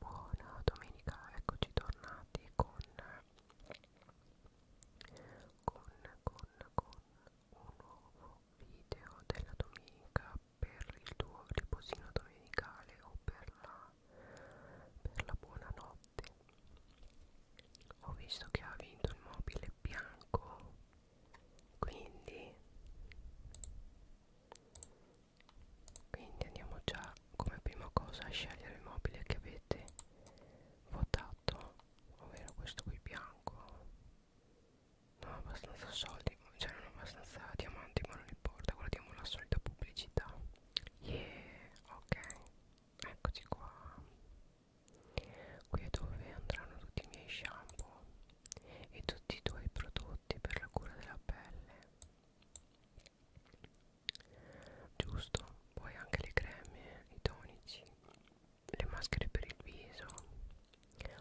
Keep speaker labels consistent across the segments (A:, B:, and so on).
A: Buona domenica, eccoci tornati con, con, con, con un nuovo video della domenica per il tuo riposino domenicale o per la, per la buonanotte. Ho visto che ha vinto il mobile bianco, quindi quindi andiamo già come prima cosa a scegliere il mobile che avete votato ovvero questo qui bianco non ho abbastanza soldi cioè non ho abbastanza diamanti ma non importa guardiamo la solita pubblicità yeah ok eccoci qua qui è dove andranno tutti i miei shampoo e tutti i tuoi prodotti per la cura della pelle giusto poi anche le creme i tonici le maschere per il viso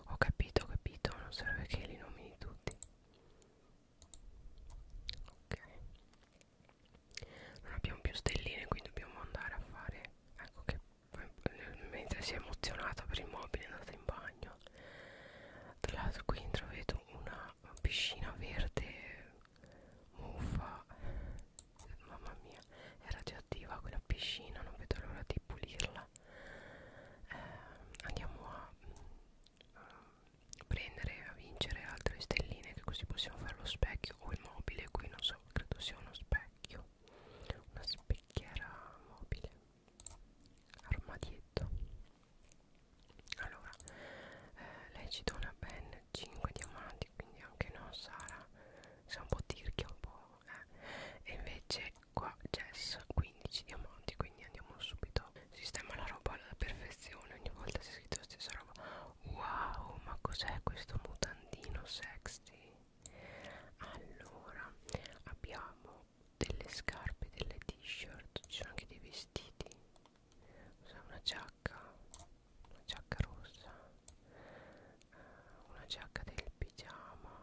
A: ho capito ho capito non serve che li nomini tutti ok non abbiamo più stelline quindi dobbiamo andare a fare ecco che mentre si è emozionata per il mobile è andata in bagno tra l'altro qui intravedo una piscina verde muffa mamma mia è radioattiva quella piscina non vedo l'ora di pulirla eh, andiamo a, a mm, prendere a vincere altre stelline che così possiamo fare lo specchio o il mobile qui non so credo sia uno specchio una specchiera mobile armadietto allora eh, lei ci dona ben 5 diamanti quindi anche no Sara sei un po' tirchia un po' eh. e invece qua Jess 15 diamanti quindi andiamo subito sistema la roba alla perfezione ogni volta si è scritto la stessa roba wow ma cos'è questo mutandino sexy allora abbiamo delle scarpe delle t-shirt ci sono anche dei vestiti usa una giacca una giacca rossa eh, una giacca del pigiama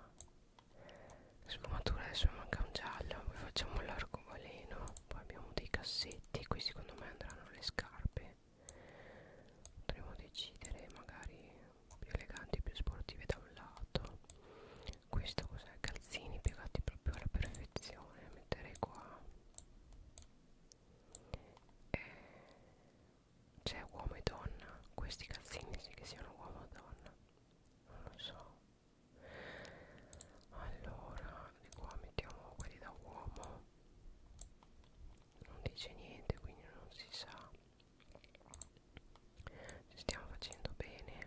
A: sfumatura adesso mi manca un giallo poi facciamo l'arcobaleno poi abbiamo dei cassetti qui secondo me andranno le scarpe potremmo decidere magari più eleganti più sportive da un lato questo cos'è calzini piegati proprio alla perfezione metterei qua eh, c'è uomo e donna questi calzini sì che siano uomo e donna non lo so allora di qua mettiamo quelli da uomo non dice niente quindi non si sa ci stiamo facendo bene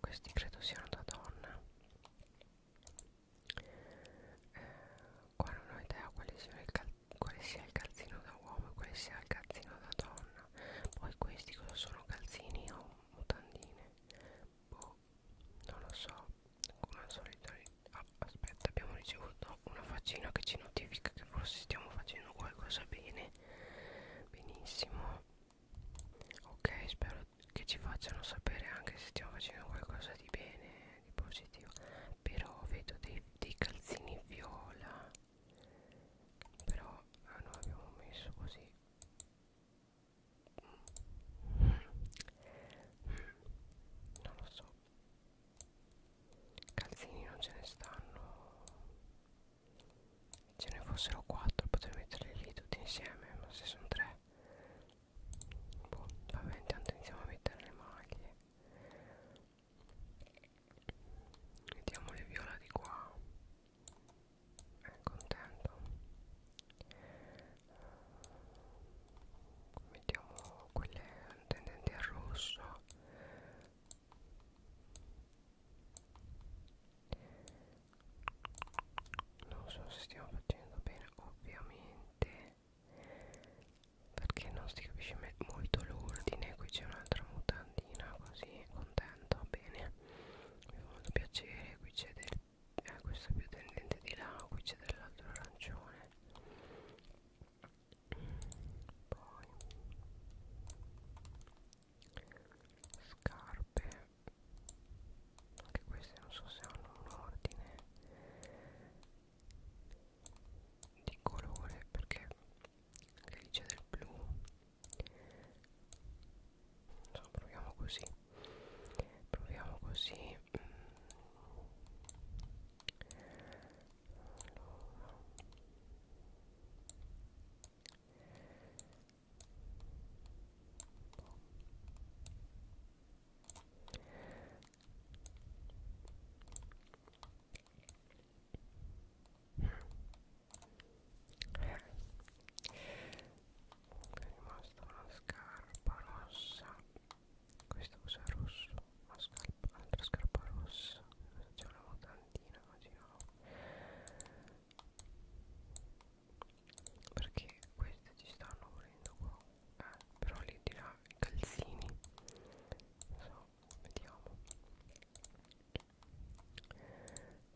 A: questi credo siano da donna eh, qua non ho idea quale sia, quale sia il calzino da uomo e quale sia il calzino da donna poi questi cosa sono calzini o mutandine boh non lo so come al solito ah, aspetta abbiamo ricevuto una faccina che ci notifica che forse stiamo facendo qualcosa bene benissimo ok spero che ci facciano sapere anche se stiamo facendo qualcosa di bene di positivo però vedo dei, dei calzini viola però ah, noi abbiamo messo così mm. non lo so calzini non ce ne stanno ce ne fossero quattro potrei metterli lì tutti insieme ma se sono tre boh vabbè intanto iniziamo a mettere le maglie mettiamo le viola di qua è eh, contento mettiamo quelle tendenti al rosso non so se stiamo facendo bene ovviamente perché non si capisce molto l'ordine qui c'è un'altra mutandina così contento bene mi fa molto piacere qui c'è del eh, questo è più tendente di là qui c'è dell'altro arancione poi scarpe anche queste non so se hanno un ordine di colore perché anche lì c'è del blu non so, proviamo così proviamo così allora mm è rimasta una scarpa rossa questo cos'è rosso? una scarpa, un'altra scarpa rossa ce l'avevo tantina così no perché queste ci stanno volendo qua eh, però lì di là i calzini so, vediamo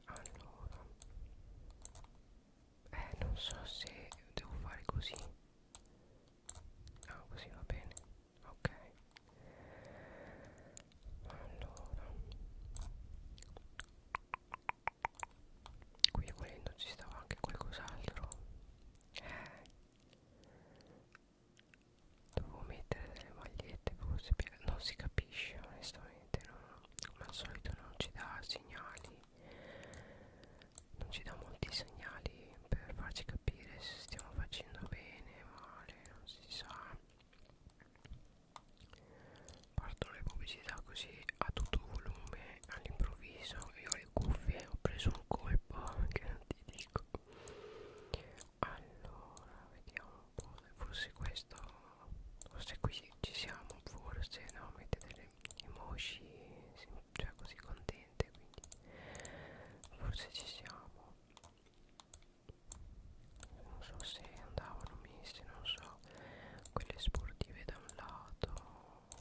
A: allora eh non so se devo fare così ah così va bene ok allora qui volendo ci stava anche qualcos'altro eh. dovevo mettere delle magliette forse per... non si capisce onestamente no? come al solito non ci dà segnali non ci dà molti segnali per farci capire se stiamo facendo bene male non si sa partono le pubblicità così a tutto volume all'improvviso io ho le cuffie ho preso un colpo che non ti dico allora vediamo un po' forse questo forse qui ci siamo forse no mette delle emoji cioè così contente quindi forse ci siamo non so se andavano messe non so quelle sportive da un lato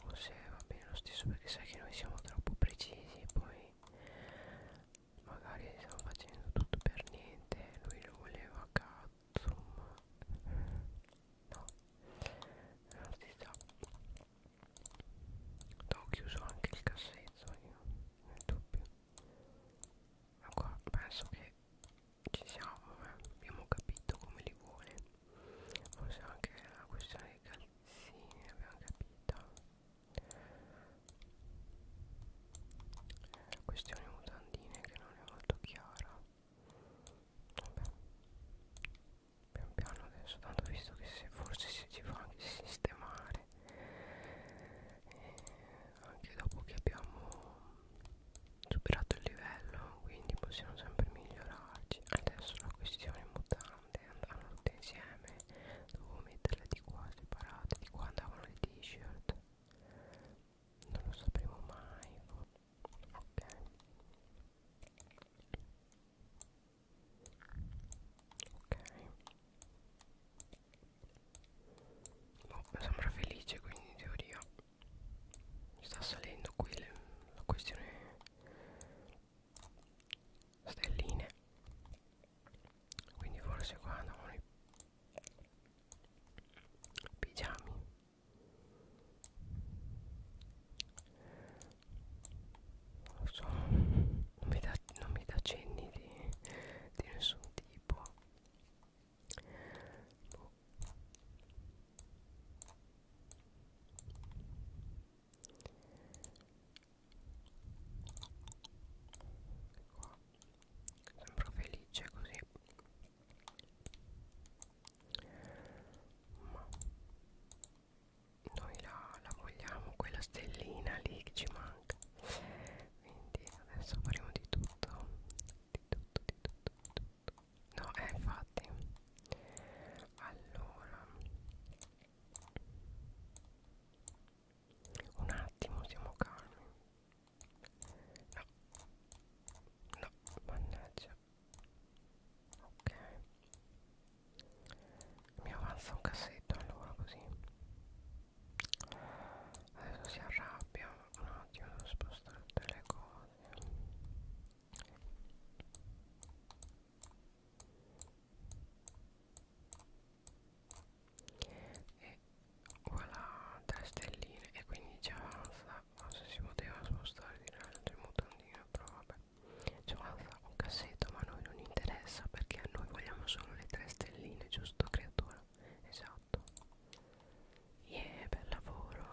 A: o se va bene lo stesso perché sai che noi siamo troppo precisi poi magari stiamo facendo tutto per niente lui lo voleva Katsum no non si sa ho chiuso anche il cassetto io nel dubbio ma qua penso che ci siamo eh? abbiamo capito come li vuole forse anche la questione dei calzini abbiamo capito la questione mutandine che non è molto chiara vabbè pian piano adesso tanto visto che se forse si ci fa anche sistemare e anche dopo che abbiamo superato il livello quindi possiamo sempre migliorarci adesso la questione mutante andavano tutte insieme dovevo metterle di qua separate di qua andavano le t-shirt non lo sapremo mai ok ok No, boh, sembra felice quindi in teoria sta salendo qui le, la questione stelline quindi forse qua andavano i pigiami non so non mi dà cenni di, di nessun tipo boh. Qua. Sembro felice così Ma Noi la, la vogliamo Quella stellina lì che ci manca Quindi adesso faremo di tutto Di tutto tutto, di tutto, di tutto. No, eh, infatti. Allora. Un attimo, siamo calmi. No. No, mannaggia. Ok. Mi avanza un cassetto allora così. Adesso si arrabbia un attimo devo spostare tutte le cose e voilà tre stelline e quindi ci avanza non so se si poteva spostare di là il mutandino però vabbè ci avanza un cassetto ma a noi non interessa perché noi vogliamo solo le tre stelline giusto creatura esatto fatto yeah bel lavoro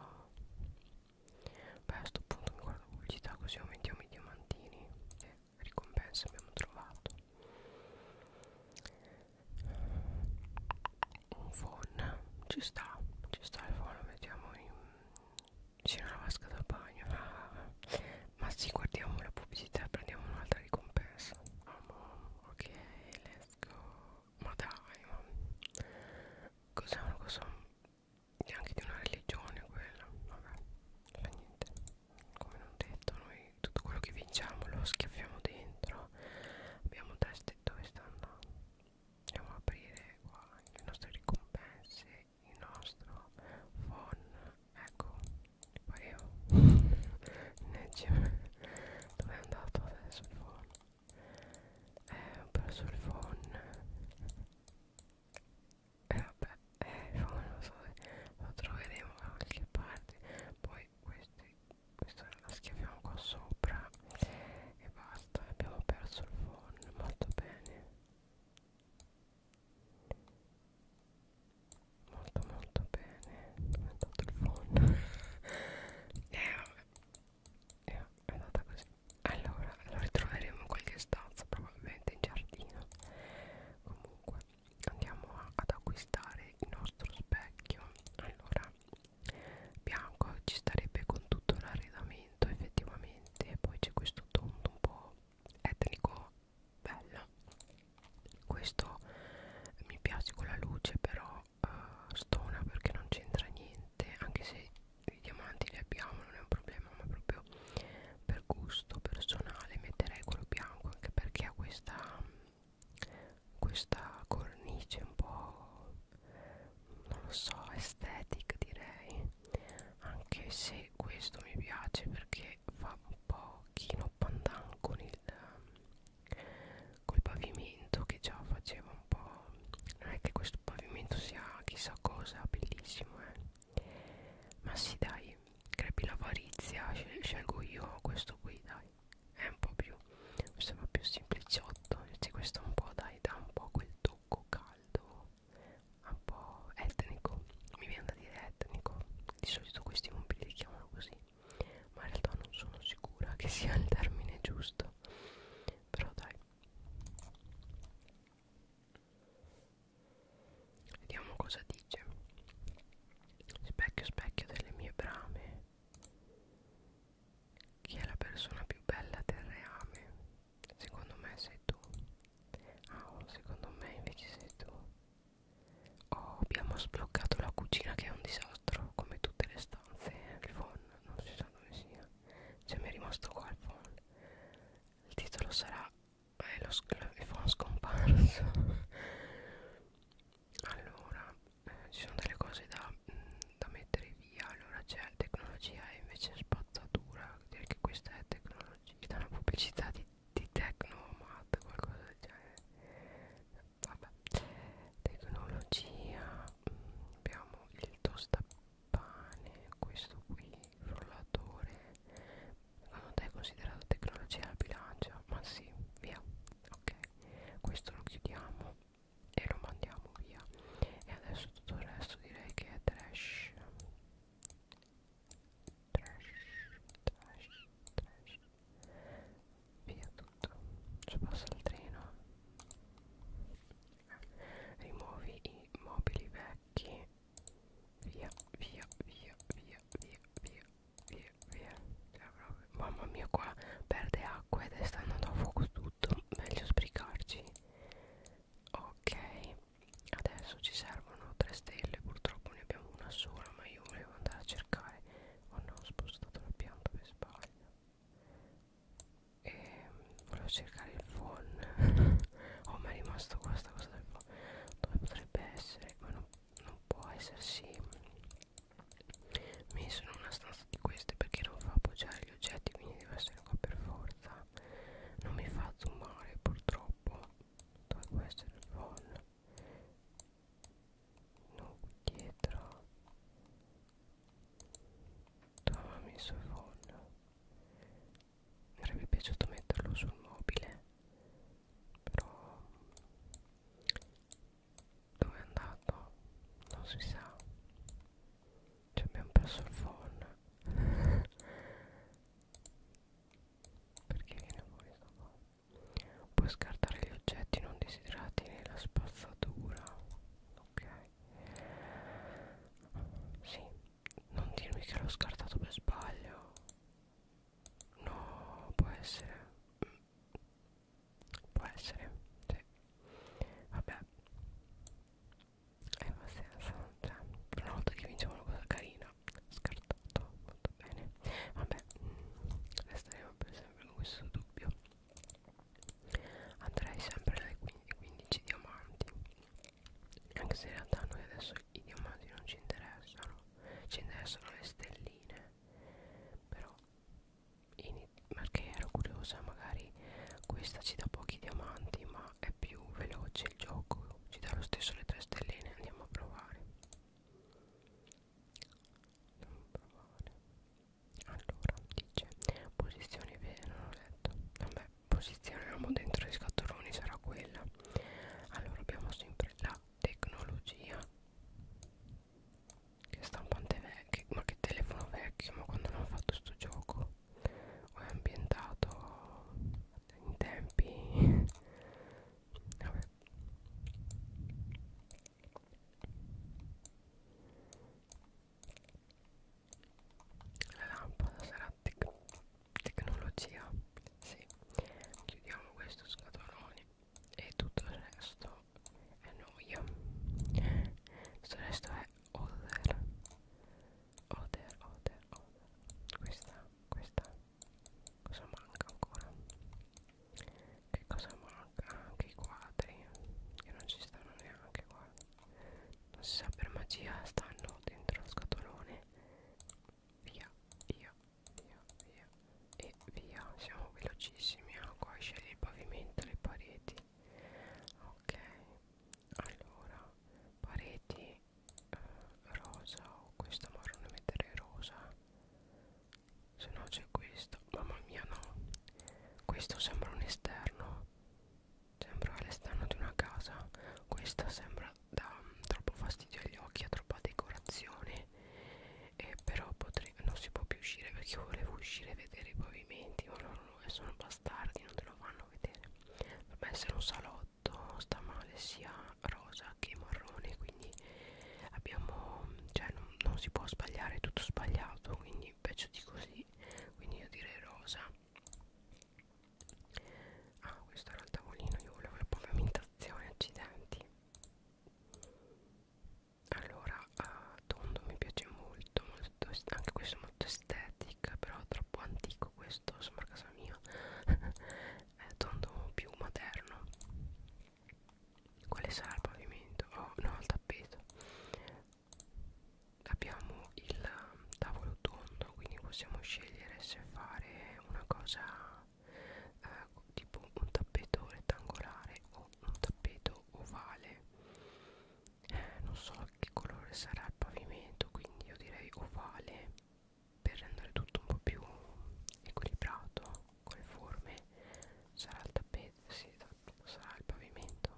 A: beh a sto punto mi guardo pubblicità così aumentiamo i diamantini e eh, ricompensa abbiamo trovato un phon ci sta ci sta il phon lo mettiamo in vicino alla vasca da bagno ah, ah, ah, ma sì guardiamo la pubblicità e prendiamo un'altra ricompensa ok let's go ma dai ma cos'è una cosa neanche di una religione quella vabbè fa niente come non detto noi tutto quello che vinciamo lo schiaffiamo dentro abbiamo teste dove sta andando andiamo ad aprire qua le nostre ricompense il nostro phone ecco pareva dove è andato adesso il phone eh, ho perso il phone e eh, vabbè eh, il phone lo so eh, lo troveremo da qualche parte poi questi questa la schiaviamo qua sopra e basta abbiamo perso il phone molto bene molto molto bene ho inventato il phone eh è, eh, è andata così allora lo ritroveremo in qualche stanza probabilmente in giardino comunque andiamo a, ad acquistare il nostro specchio allora bianco ci starebbe con tutto l'arredamento effettivamente e poi c'è questo tondo un po' etnico bello questo mi piace con la luce però uh, stona perché non c'entra niente anche se i diamanti li abbiamo non è un problema ma proprio per gusto personale metterei quello bianco anche perché ha questa questa cornice un po' non lo so estetica direi anche se questo mi piace perché fa un pochino pandan con il col pavimento che già faceva un po' non è che questo pavimento sia chissà cosa bellissimo eh. ma sì dai crepi l'avarizia scelgo io questo qui dai è un po' più questo è un po' più sempliciotto invece questo un po' dai dà un po' quel tocco caldo un po' etnico mi viene da dire etnico di solito questi mobili li chiamano così ma in realtà non sono sicura che sia il termine giusto però dai vediamo cosa dice specchio specchio delle mie brame chi è la persona più bella del reame secondo me sei tu ah oh, secondo me invece sei tu Oh, abbiamo sbloccato la cucina che è un disastro come tutte le stanze il phone non si sa dove sia cioè mi è rimasto qua il phone il titolo sarà eh, lo il phone scomparso allora eh, ci sono delle cose da, mm, da mettere via allora c'è tecnologia e invece spazzatura direi che questa è tecnologia c'è una pubblicità di, di Tecnomat qualcosa del genere vabbè tecnologia mm, abbiamo il tostapane questo qui il frullatore secondo ah, te è considerato tecnologia la bilancia ma sì via ok questo lo chiudiamo e lo mandiamo via e adesso tutto il resto direi che è trash trash trash trash via tutto ci passa il treno rimuovi i mobili vecchi via via via via via via via via cioè, proprio, mamma mia qua perde acqua ed è sta andando a fuoco tutto meglio sbrigarci ok adesso ci servono tre stelle purtroppo ne abbiamo una sola ma io volevo andare a cercare oh no ho spostato la pianta per sbaglio e volevo cercare il phone oh ma è rimasto questa cosa del phone dove potrebbe essere ma non, non può essersi messo in una stanza di queste perché non fa appoggiare gli oggetti quindi deve essere qua per forza non mi fa zoomare purtroppo dove può essere il phone no dietro dove ho messo il phone mi sarebbe piaciuto metterlo sul mobile però dove è andato non si sa ci abbiamo perso il phone perché viene fuori sto phone puoi scartare gli oggetti non desiderati nella spazzatura ok sì non dirmi che l'ho scartato per sbaglio no può essere mm. può essere sì vabbè e va senza cioè, per una volta che vinciamo una cosa carina scartato molto bene vabbè resteremo per sempre con questo dubbio andrei sempre dai 15 diamanti anche se in realtà noi adesso i diamanti non ci interessano ci interessano le stelline però perché ero curiosa magari questa ci dà pochi diamanti ma è più veloce il gioco ci dà lo stesso le 3 stelline andiamo a provare non provare allora dice posizione vera non ho letto vabbè posizioniamo dentro i scatoloni sarà quella allora abbiamo sempre la tecnologia che stampante vecchio ma che telefono vecchio ma quando hanno fatto sto gioco o è ambientato in tempi vabbè la lampada sarà tec tecnologia. Sì, chiudiamo questo scatolone e tutto il resto è noia. Tutto il resto è other. Other, other, other. Questa, questa. Cosa manca ancora? che cosa manca anche i quadri che non ci stanno neanche qua non si sa per magia stanno dentro lo scatolone via via via via e via siamo velocissimi ah, qua scegli il pavimento le pareti ok allora pareti eh, rosa o questo marrone mettere rosa se no c'è questo mamma mia no questo sembra un esterno sembra l'esterno di una casa questa sembra da um, troppo fastidio agli occhi ha troppa decorazione e però potrei, non si può più uscire perché io volevo uscire e vedere i pavimenti ma loro sono bastardi non te lo fanno vedere dovrebbe essere un salotto sta male sia rosa che marrone quindi abbiamo cioè non, non si può sbagliare è tutto sbagliato quindi peggio di così quindi io direi rosa ah questo era il tavolino io volevo la pavimentazione accidenti allora uh, tondo mi piace molto, molto anche questo è molto estetic però troppo antico questo sembra casa mia è tondo più moderno quale sarà il pavimento? Oh, no, il tappeto. Abbiamo il um, tavolo tondo, quindi possiamo scegliere se fare una cosa eh, tipo un tappeto rettangolare o un tappeto ovale. Eh, non so che colore sarà il pavimento, quindi io direi ovale per rendere tutto un po' più equilibrato con le forme sarà il tappeto sì, esatto, sarà il pavimento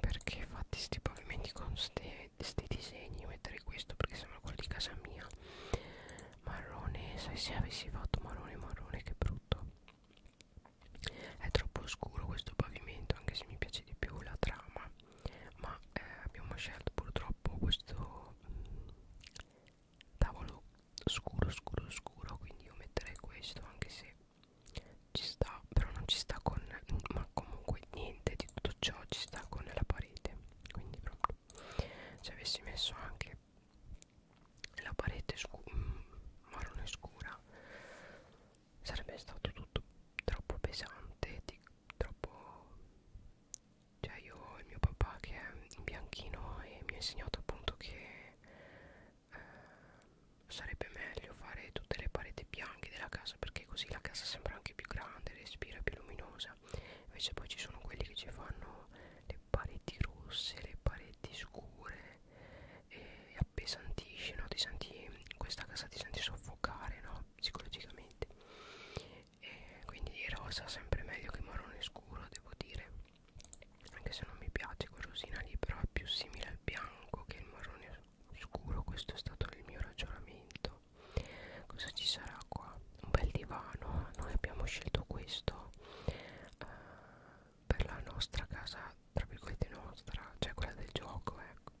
A: perché fatti sti pavimenti con questi disegni mettere questo perché sembra quello di casa mia marrone sai se avessi fatto marrone marrone che brutto è troppo scuro questo pavimento anche se mi piace di più la trama ma eh, abbiamo scelto purtroppo questo mh, mm, tavolo scuro scuro scuro quindi io metterei questo anche se ci sta però non ci sta con ma comunque niente di tutto ciò ci sta con la parete quindi proprio se avessi messo anche la parete scu mm, marrone scura sarebbe stato tutto troppo pesante troppo cioè io e mio papà che è in bianchino e mi ha insegnato appunto che eh, sarebbe meglio fare tutte le pareti bianche della casa perché così la casa sembra anche più grande, respira più luminosa. Invece poi ci sono quelli che ci fanno le pareti rosse, le pareti scure e appesantisci, no? Ti senti in questa casa ti senti soffocare, no? Psicologicamente. E quindi rosa sempre meglio che marrone scuro, devo dire anche se non mi piace quel rosina lì però è più simile al bianco che il marrone scuro questo è stato il mio ragionamento cosa ci sarà qua? un bel divano noi abbiamo scelto questo eh, per la nostra casa tra virgolette nostra cioè quella del gioco ecco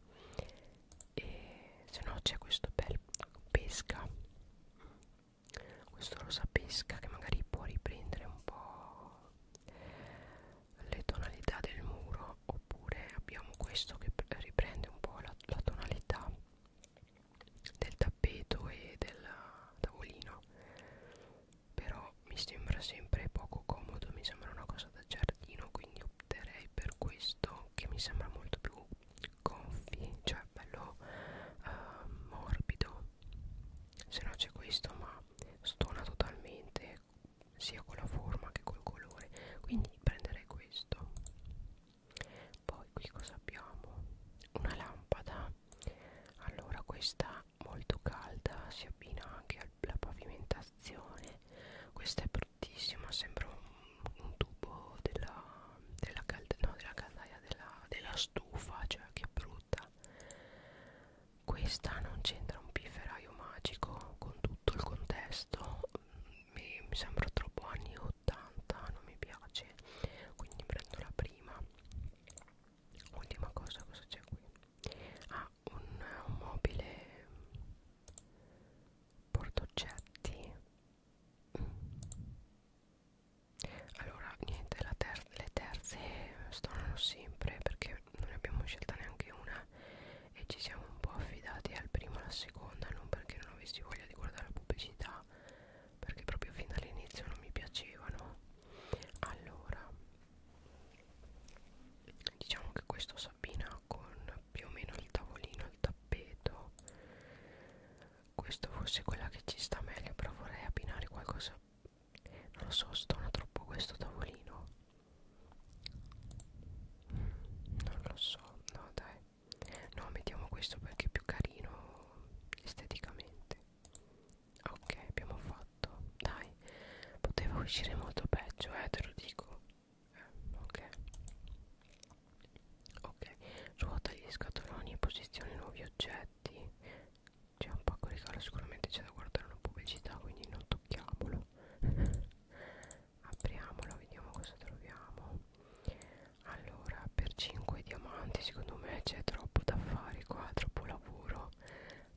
A: e se no c'è questo bel pesca questo rosa pesca che magari può riprendere un po' le tonalità del muro oppure abbiamo questo che riprende un po' la, la tonalità del tappeto e del tavolino però mi sembra sempre poco comodo mi sembra una cosa da giardino quindi opterei per questo che mi sembra molto più gonfi cioè bello eh, morbido se no c'è questo ma stona totalmente sia con la forma che col colore quindi prenderei questo poi qui cosa abbiamo una lampada allora questa molto calda si abbina anche alla pavimentazione questa è bruttissima sembra un, un tubo della della, calda, no, della caldaia della, della stufa cioè che brutto frutta questa non c'entra un pifferaio magico con tutto il contesto mi, mi sembra troppo anni 80 non mi piace quindi prendo la prima ultima cosa cosa c'è qui ah un, un mobile portoggetti mm allora niente la ter le terze stonano sempre perché non ne abbiamo scelta neanche una e ci siamo un po' affidati al primo e alla seconda non perché non avessi voglia di guardare la pubblicità perché proprio fin dall'inizio non mi piacevano allora diciamo che questo Sabina con più o meno il tavolino il tappeto questa forse è quella che ci sta meglio però vorrei abbinare qualcosa non lo so stona troppo questo tavolino non lo so no dai no mettiamo questo perché è più carino esteticamente ok abbiamo fatto dai poteva uscire molto peggio eh te lo dico eh, ok ok ruota gli scatoloni e posizioni nuovi oggetti c'è un pacco di caro sicuramente c'è da guardare una pubblicità quindi non tocchiamolo apriamolo vediamo cosa troviamo allora per 5 diamanti secondo me c'è troppo da fare qua troppo lavoro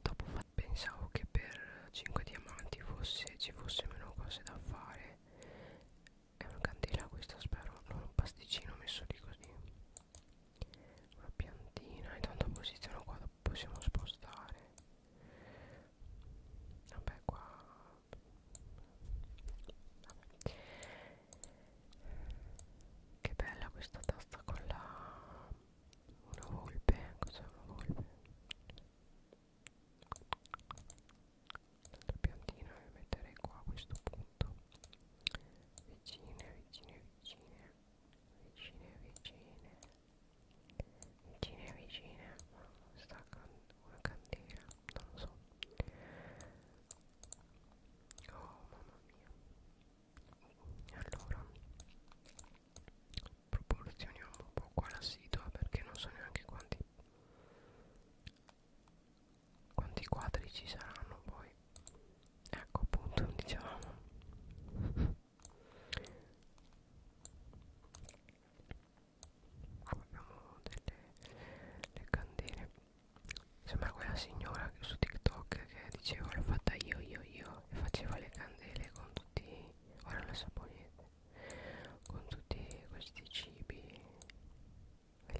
A: dopo pensavo che per 5 diamanti fosse, ci fosse meno cose da fare è una candela questa spero non un pasticcino messo lì così una piantina e tanto posiziono qua possiamo spostare vabbè qua vabbè. che bella questa tasta con la una volpe cos'è una volpe la piantina e metterei qua a questo punto tutto vicine vicine vicine vicine vicine vicine vicine ma sta can una candela non lo so oh mamma mia allora Proporzioniamo un po' qua la situa perché non so neanche quanti quanti quadri ci saranno poi ecco appunto diciamo abbiamo delle candele sembra quella signora su tiktok che diceva l'ho fatta io io io e faceva le candele con tutti ora le saponette con tutti questi cibi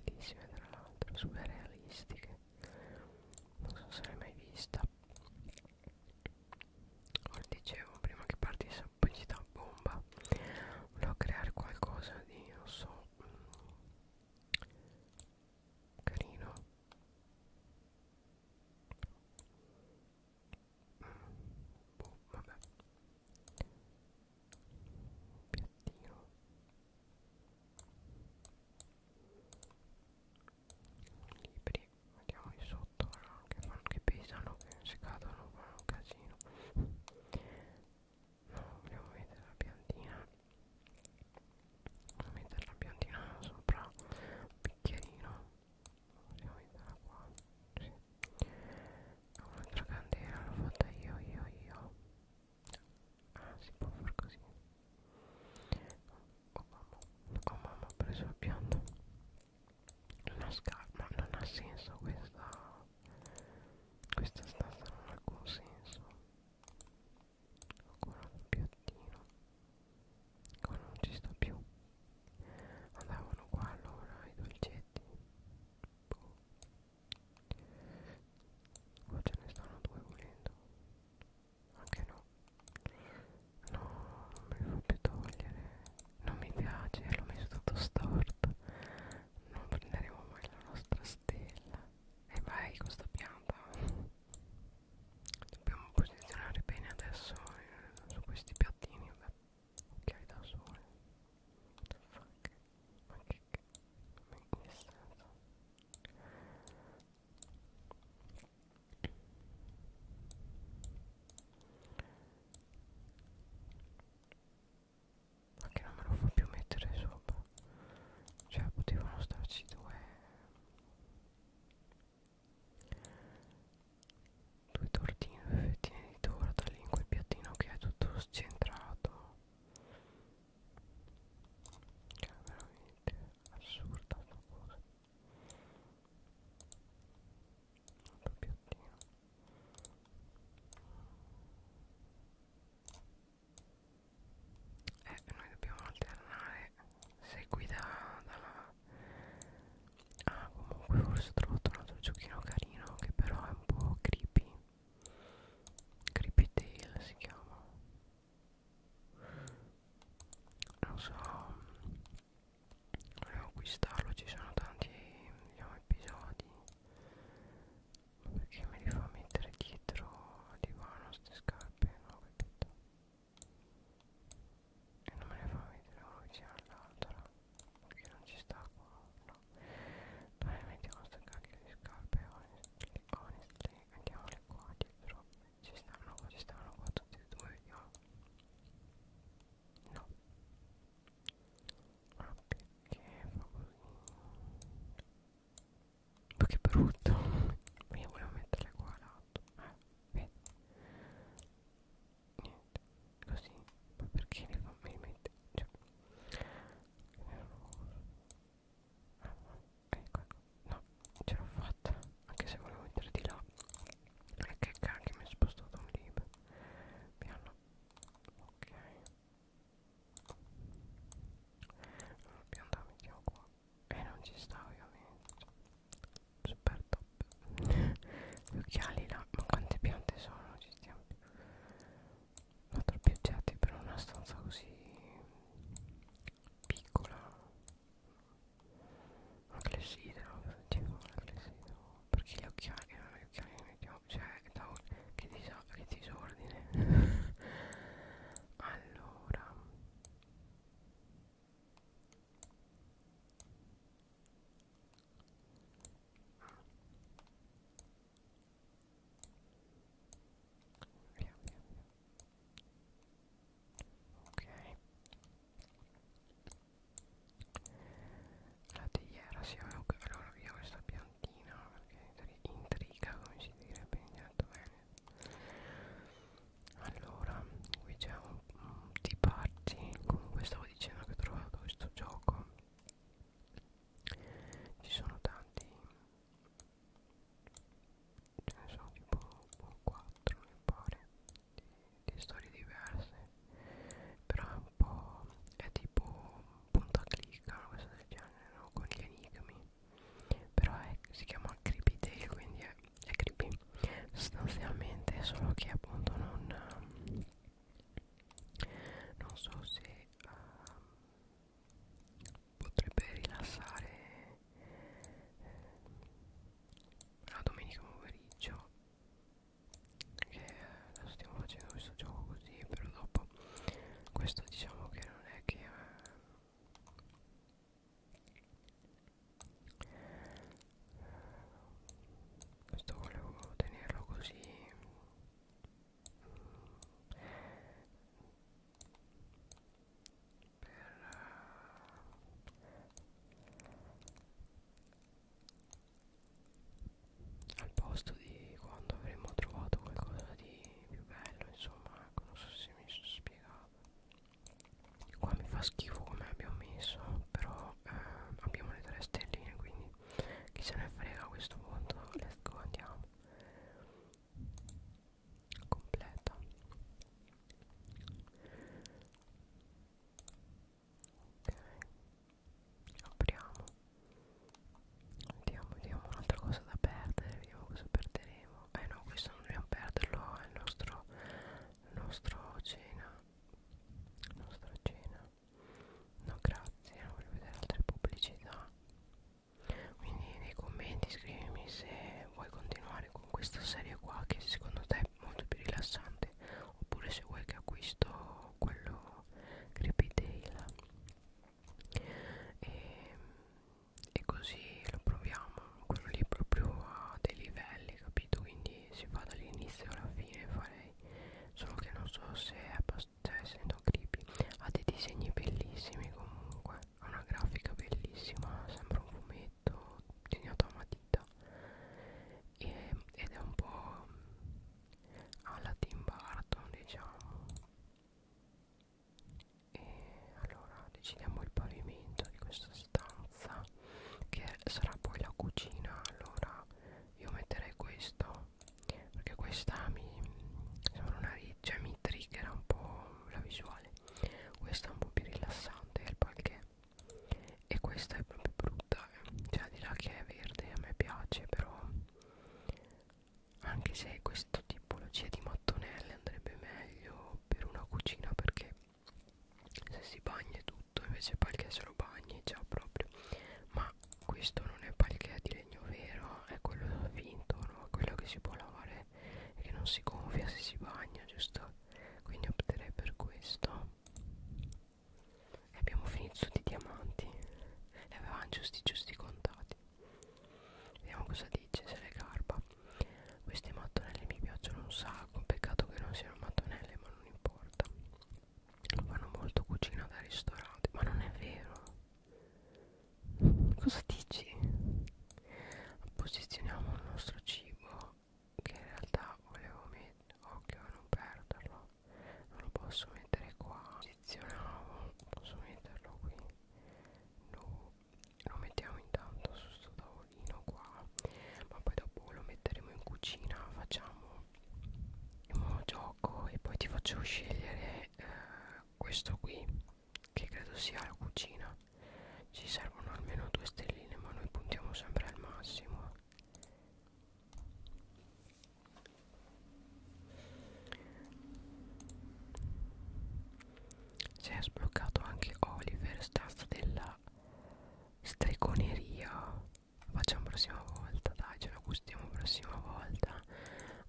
A: bellissime tra l'altro super realistiche non so se l'hai mai vista come dicevo prima che partisse pubblicità a bomba volevo creare qualcosa di non so mm, carino mm, boh vabbè piattino libri vediamo di sotto no? Eh, che, fanno, che pesano che se cadono fanno un casino no vogliamo mettere la piantina vogliamo mettere la piantina sopra un bicchierino vogliamo metterla qua sì. un'altra candela l'ho fatta io io io Ah, si può far così. Oh mamma, oh mamma, ho preso il pianto. Una scarpa, non ha senso questa. Questa stanza non ha alcun senso. Ancora un piattino. Qua non ci sto più. Andavano qua allora i dolcetti. Boh. Qua ce ne stanno due volendo anche no no mi fa più togliere non mi piace l'ho messo tutto storto non prenderemo mai la nostra stella e vai con sta pianta dobbiamo posizionare bene adesso eh, su questi piattini vabbè occhiali da sole what the fuck ma che, ma che senso ma che non me lo fa più mettere sopra cioè potevano starci due due tortine due fettine di torta lì in quel piattino che è tutto scentrato che è veramente assurda sta cosa un po' piattino e eh, noi dobbiamo alternare seguita dalla ah comunque forse ho trovato un altro giochino carino che però è un po' creepy creepy tale si chiama non so volevo acquistarlo ci sono tanti diciamo, episodi ma perché me li fa mettere dietro al divano queste scarpe non ho capito e non me le fa mettere uno vicino all'altro perché non ci sta qua no dai mettiamo queste cacchio di scarpe honestly honestly andiamole qua dietro ci stanno qua ci stanno qua tutti e due vediamo no ma ah, perché fa così ma che brutto ma io volevo metterle qua lato eh vedi niente così ma perché le fa me le mette cioè ecco ecco no ce l'ho fatta anche se volevo entrare di là e che cacchio mi è spostato un libro piano ok allora pianta mettiamo qua e non ci sta ovviamente super top gli occhiali là ma quante piante sono non ci stiamo più ma troppi oggetti per una stanza così piccola una clessidra tipo una clessidra perché gli occhiali non eh, gli occhiali li mettiamo cioè un, che, disa, che disordine allora Via, via, via. Ok. La teiera si sì, ok. Allora via questa piantina perché intriga come si direbbe niente bene. Allora, qui c'è un, un di party. Comunque stavo dicendo che ho trovato questo gioco. Ci sono tanti ce eh, ne sono tipo 4 boh, mi pare di, di storie diverse però è un po' è tipo punta clicca una cosa del genere no? con gli enigmi però è, si chiama creepy tale quindi è, è creepy sostanzialmente solo che appunto non non so se uh, potrebbe rilassare eh, la domenica pomeriggio che adesso eh, stiamo facendo questo gioco così però dopo questo diciamo che non è che eh, questo volevo tenerlo così per al posto di quando avremmo trovato qualcosa di più bello insomma ecco non so se mi sono spiegato qua mi fa schifo come abbiamo messo però eh, abbiamo le tre stelline quindi chi se ne frega a questo punto let's go andiamo completa ok apriamo vediamo vediamo un'altra cosa da perdere vediamo cosa perderemo eh no questo non dobbiamo perderlo è il nostro il nostro cena la nostra cena no grazie non voglio vedere altre pubblicità quindi nei commenti scrivimi se vuoi continuare con questa serie qua che secondo te è molto più rilassante oppure se vuoi che acquisto quello Creepy Tale e, e così lo proviamo quello lì proprio a dei livelli capito quindi si va dall'inizio alla fine farei solo che non so se è abbastanza cioè, essendo creepy ha dei disegni bellissimi comunque ha una grafica bellissima sembra un fumetto disegnato a matita e, ed è un po' alla Tim Burton diciamo e allora decidiamo il pavimento di questa stanza che sarà poi la cucina allora io metterei questo perché questa mi sembra una riccia cioè, mi triggera un po' la visuale questa è un po' più rilassante il palchè e questa è proprio brutta eh. cioè di là che è verde a me piace però anche se questa tipologia di mattonelle andrebbe meglio per una cucina perché se si bagna è tutto invece palchè se lo bagni già proprio ma questo non è palchè di legno vero è quello finto no? quello che si può lavare male e che non si gonfia se si bagna, giusto? Quindi opterei per questo. E abbiamo finito di diamanti. E avevamo giusti giusti contati. Vediamo cosa dice, se le garba. Queste mattonelle mi piacciono un sacco, peccato che non siano mattonelle, ma non importa. Fanno molto cucina da ristorante, ma non è vero. Cosa dici? Posizioniamo il nostro cibo che in realtà volevo mettere, occhio a non perderlo, non lo posso mettere qua, posizionavo, posso metterlo qui, lo, lo mettiamo intanto su questo tavolino qua, ma poi dopo lo metteremo in cucina, facciamo un gioco e poi ti faccio scegliere eh, questo qui che credo sia la cucina ci servono almeno due stelline ma noi puntiamo sempre al massimo si è sbloccato anche Oliver stanza della stregoneria facciamo prossima volta dai ce la gustiamo prossima volta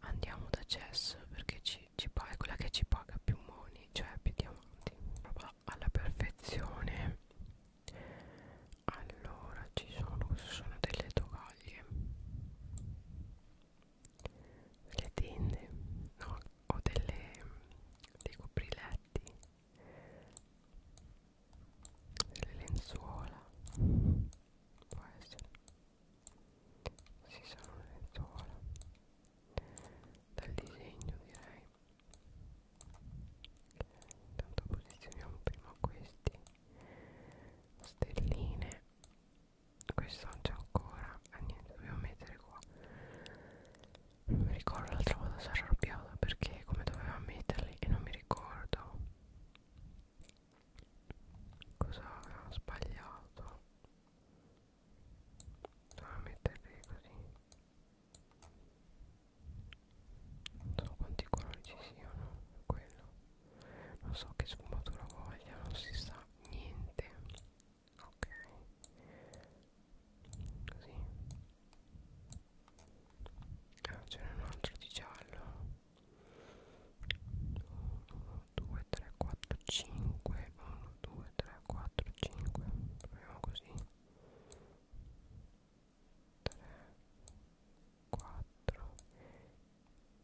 A: andiamo da Jess perché ci diamanti ci paga, è quella che ci paga più money cioè più diamanti roba alla perfezione allora ci sono sono delle tovaglie le tende no ho delle dei copriletti delle lenzuola può essere si sarà un'elettola dal disegno direi intanto posizioniamo prima questi stelline questo non c'è ancora ah niente dobbiamo mettere qua non mi ricordo l'altra volta si era arrabbiata perché come doveva metterli e non mi ricordo cosa aveva sbagliato a metterle così non so quanti colori ci siano quello non so che sfumatura voglia non si sa niente ok così ah ce n'è un altro di giallo 2 3 4 5 1 2 3 4 5 proviamo così 3 4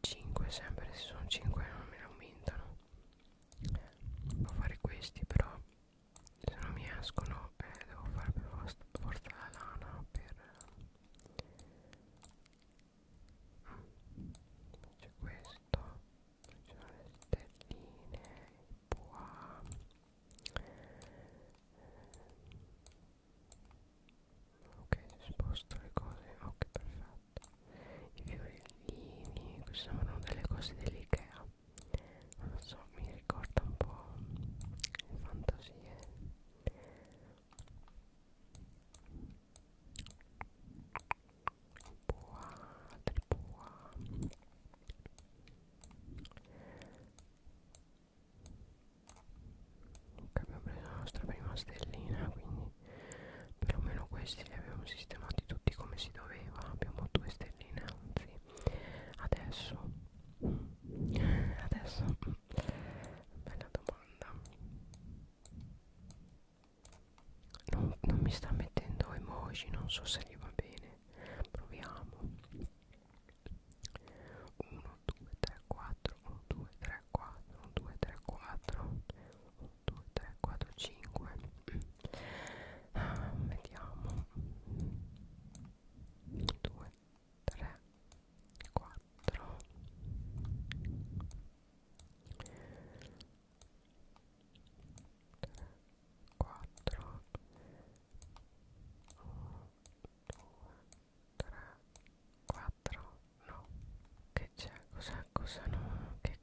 A: 5 sempre se sono 5 non me ne aumentano devo fare questi però se non mi escono eh, devo fare per forza la lana per c'è questo c'è le stelline qua ok sposto le cose ok perfetto i fiorellini queste sembrano delle cose dell'Ikea non so mi ricorda un po' le fantasie boa, tre boa ok abbiamo preso la nostra prima stellina quindi perlomeno questi li abbiamo sistemati tutti come si doveva abbiamo due stelline anzi adesso adesso bella domanda non, non mi sta mettendo emoji non so se gli va bene proviamo 1 2 3 4 1 2 3 4 1 2 3 4 1 2 3 4 5 ah, vediamo 2 3 4 3 4 1 2 3 4 no che c'è cosa cosa no che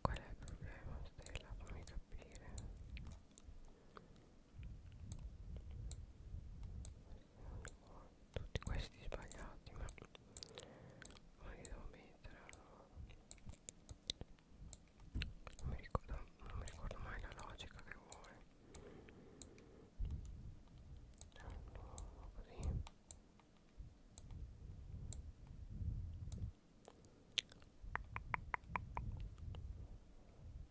A: qual è il problema stella fammi capire tutti questi sbagliati ma ma li devo mettere allora non mi ricordo, non mi ricordo mai la logica che vuole allora così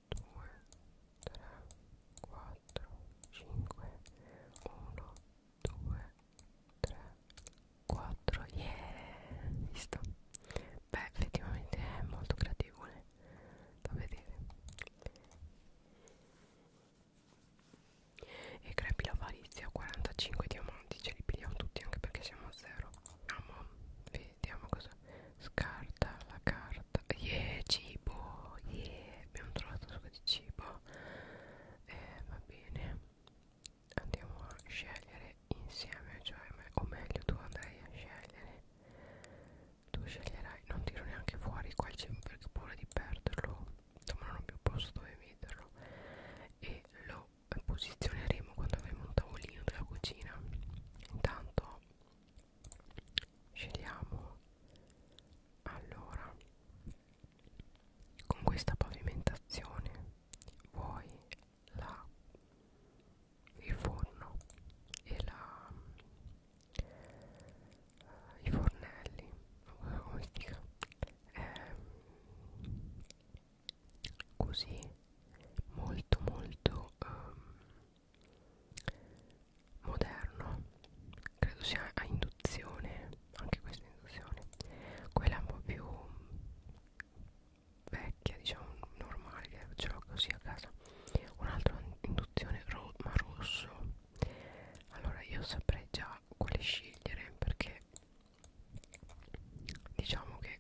A: 2 3 4 5 1 2 3 4 yeah visto beh effettivamente è molto gradevole eh, da vedere e crepi la valizia 45 diamanti ce li pigliamo tutti anche perché siamo a zero amo ah, vediamo cosa scarta la carta yeah cibo yeah abbiamo trovato un sacco di cibo eh, va bene andiamo a scegliere insieme cioè o meglio tu andrai a scegliere tu sceglierai non tiro neanche fuori qua il cibo perché ho paura di perderlo insomma non ho più posto dove metterlo e lo posizioneremo quando avremo un tavolino della cucina intanto scegliamo allora con questa pavimentazione vuoi la il forno e la eh, i fornelli come si dica ehm, così molto molto um, moderno credo sia a induzione anche questa induzione quella un po' più vecchia diciamo normale che ce l'ho così a casa un'altra induzione ro ma rosso allora io saprei già quale scegliere perché diciamo che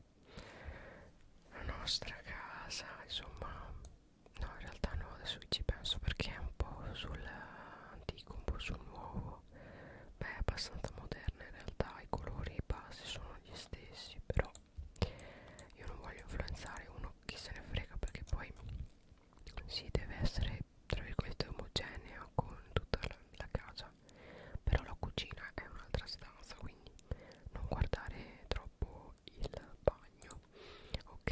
A: la nostra casa insomma No, in realtà no, adesso ci penso perché è un po' sul antico, un po' sul nuovo. Beh, è abbastanza moderna in realtà, i colori e i basi sono gli stessi, però io non voglio influenzare uno chi se ne frega perché poi si deve essere tra virgolette omogenea con tutta la, la casa. Però la cucina è un'altra stanza, quindi non guardare troppo dopo il bagno ok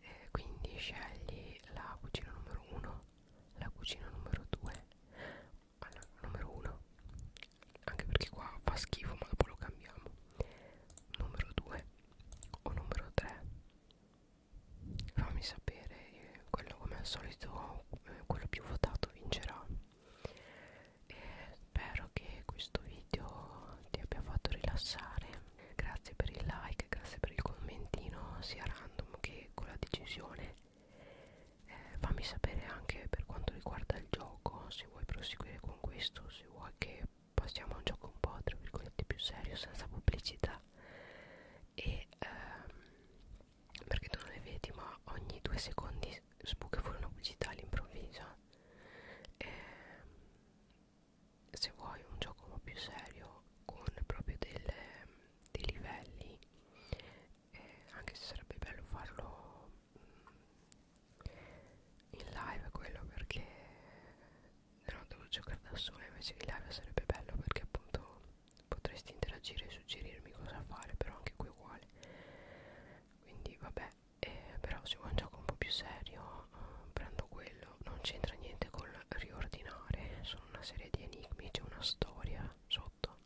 A: eh, quindi scegli la cucina numero 1 la cucina numero 2 allora, ah, numero 1 anche perché qua fa schifo ma dopo lo cambiamo numero 2 o numero 3 fammi sapere eh, quello come al solito eh, quello più votato vincerà eh, spero che questo video ti abbia fatto rilassare grazie per il like grazie per il commentino sia random che con la decisione eh, fammi sapere anche per quanto riguarda il gioco se vuoi proseguire con questo se vuoi che passiamo a un gioco un po' tra virgolette più serio senza pubblicità e ehm, perché tu non le vedi ma ogni due secondi sbuca fuori una pubblicità all'improvviso e, se vuoi un gioco più serio con proprio delle, dei livelli e anche se sarebbe bello farlo mm, in live quello perché no, devo giocare da solo invece in live sarebbe bello perché appunto potresti interagire e suggerirmi cosa fare però anche qui uguale quindi vabbè eh, però se vuoi un gioco un po' più serio eh, prendo quello non c'entra niente con riordinare sono una serie di enigmi c'è una storia sotto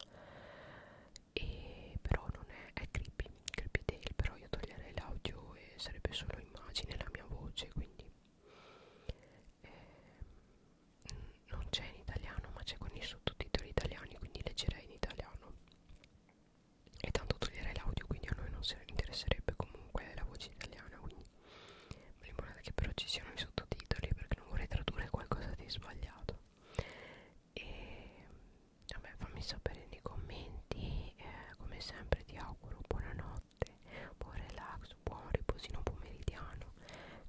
A: e però non è, è creepy creepy tale però io toglierei l'audio e sarebbe solo immagine la mia voce quindi eh, non c'è in italiano ma c'è con i sottotitoli italiani quindi leggerei in italiano e tanto toglierei l'audio quindi a noi non se interesserebbe comunque la voce italiana quindi mi limonata che però ci siano i sottotitoli perché non vorrei tradurre qualcosa di sbagliato e vabbè fammi sapere nei commenti eh, come sempre ti auguro buonanotte buon relax buon riposino pomeridiano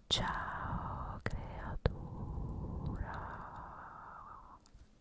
A: ciao creatura